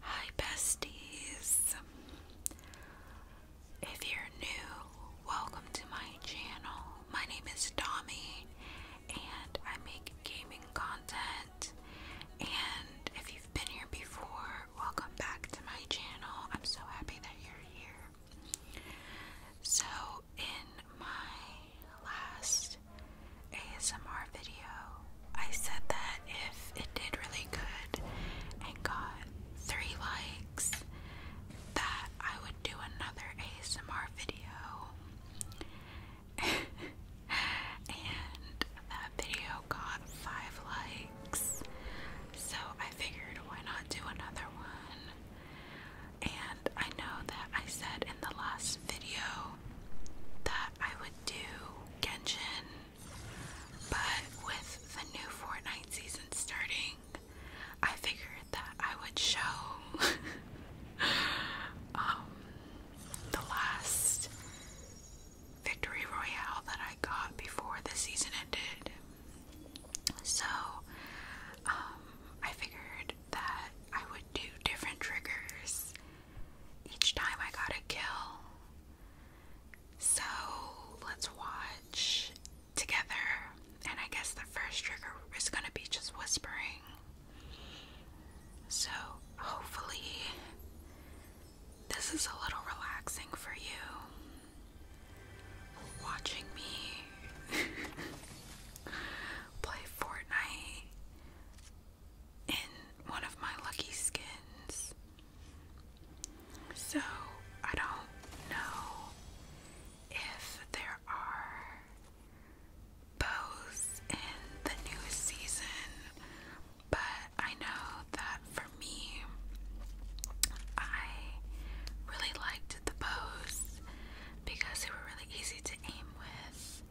Hi, besties. If you're new, welcome to my channel. My name is Dommy, and I make gaming content. And if you've been here before, welcome back to my channel. I'm so happy that you're here. So, in my last ASMR video. I said that if it did really good and got three likes, that I would do another ASMR video. and that video got five likes. So I figured why not do another one? And I know that I said in the last video that I would do Genshin, but with the new Fortnite season starting, I figured that I would show um, the last Victory Royale that I got before the season ended. So, um, I figured that I would do different triggers each time I got a kill. So let's watch together. And I guess the first trigger is going to be just whispering. So hopefully, this is a little relaxing for you. Watching me play Fortnite in one of my lucky skins. So I don't know if there are bows in the new season, but I know that for me, I really liked the bows because they were really easy to aim with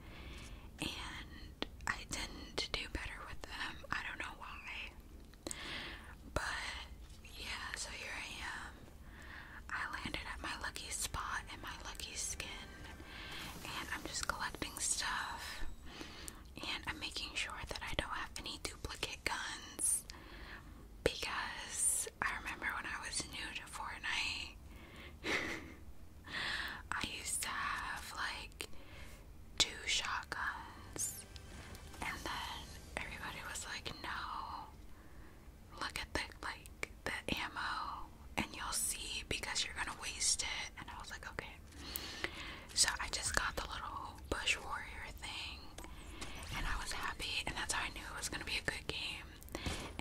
and I tend to do better with them. I don't know why. But yeah, so here I am. I landed at my lucky spot and my lucky skin, and I'm just collecting stuff. And I'm making sure that I don't have any duplicate guns because I remember when I was new to Fortnite, I used to have like two shotguns, and then everybody was like, "No, look at the like the ammo, and you'll see because you're gonna waste it." And I was like, "Okay." So I just got the little bush warrior thing, and I was happy, and that's how I knew it was gonna be a good game.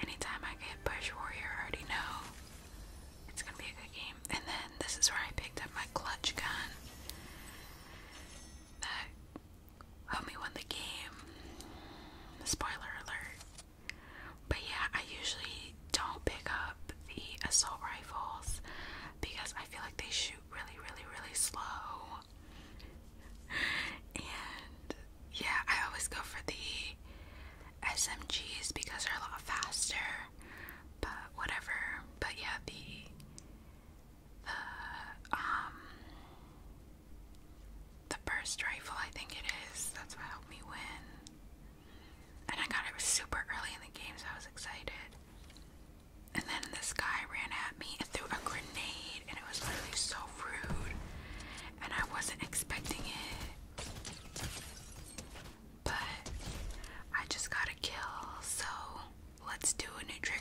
Anytime I get bush warrior, I already know it's gonna be a good game. And then this is where I picked up my clutch gun. That helped me win the game. Spoiler alert. But yeah, I usually don't pick up the assault rifles because I feel like they shoot really, really, really slow. And yeah, I always go for the SMGs because they're a lot faster, but whatever. But yeah, the the um the burst rifle I think it is, that's what helped me win. And I got it super early in the game so I was excited. And then this guy ran at me and threw a grenade and it was literally so rude and I wasn't expecting it but I just got to kill, so let's do a new trigger.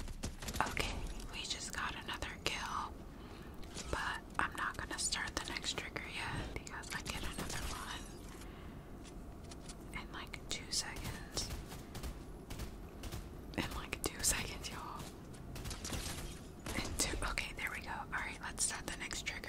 Okay, we just got another kill, but I'm not gonna start the next trigger yet because I get another one in like two seconds. In like two seconds, y'all. In two. Okay, there we go. All right, let's set the next trigger.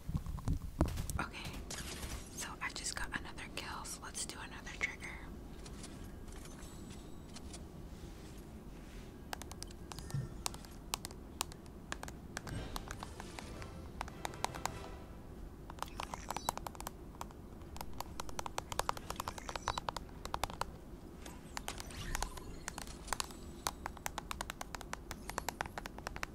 Okay, so I just got another kill, let's do another trigger.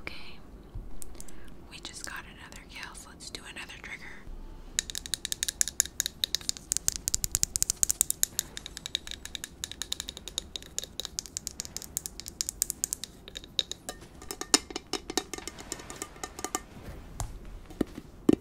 Okay. We just got another kill, let's do another trigger.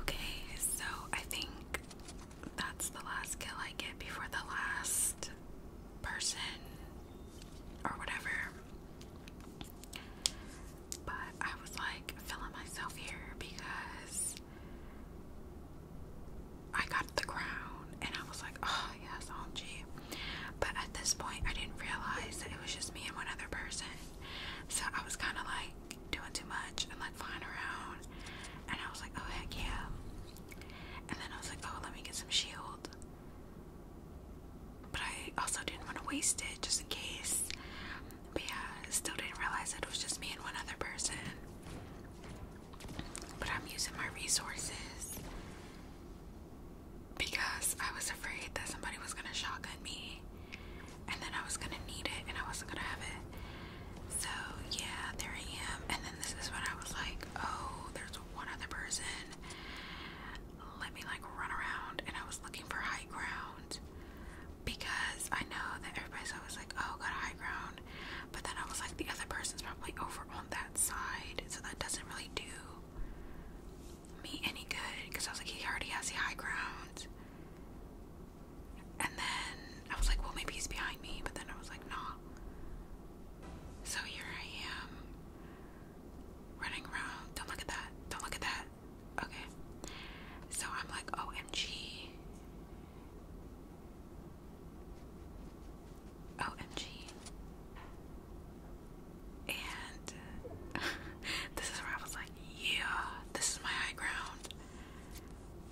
Okay, so I think that's the last kill I get before the last person or whatever. But I was like feeling myself here because I got the crown and I was like, oh yes, OMG. But at this point, I didn't realize that it was just me and one other person. So I was kind of like doing too much and like flying around. And I was like, oh heck yeah. And then I was like, oh, let me get some shield. But I also didn't want to waste it just in case. But yeah, I still didn't realize that it was just me and one other person. But I'm using my resources because I was afraid that somebody was gonna shotgun me and then I was gonna need it and I wasn't gonna have it. So, yeah, there I am. And then this is when I was like, oh, there's one other person. Let me like run around. And I was looking for high ground because I know that everybody's always like, oh, got high ground. But then I was like, the other person's probably over on that side, so that doesn't really do me any good because I was like, he already has the high ground. And then I was like, well, maybe he's behind me, but then I was like, nah. So here I am running around. Don't look at that. Don't look at that. Okay. So I'm like, OMG. OMG. And uh, this is where I was like, yeah, this is my high ground.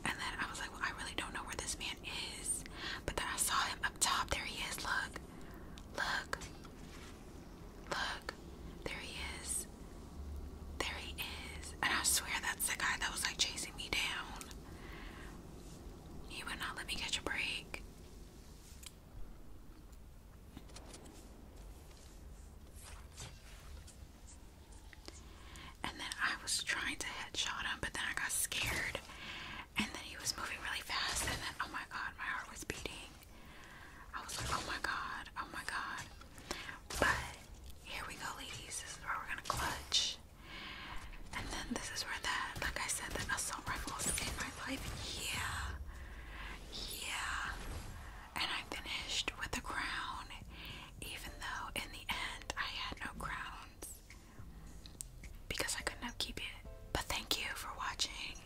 And then I was like, well, I really don't know where this man is. But then I saw him up top. There he is. Look. Look. Look. There he is. There he is. And I swear that's the guy that was like chasing me down. He would not let me catch a break. And then I was trying to headshot him, but then I got scared. And then he was moving really fast, and then oh my god, my heart was beating. I was like, oh my god, oh my god. But here we go, ladies. This is where we're gonna clutch. And then this is where that, like I said, that assault rifle in my life. Yeah. Yeah. And I finished with a crown, even though in the end I had no crowns because I couldn't upkeep it. But thank you for watching.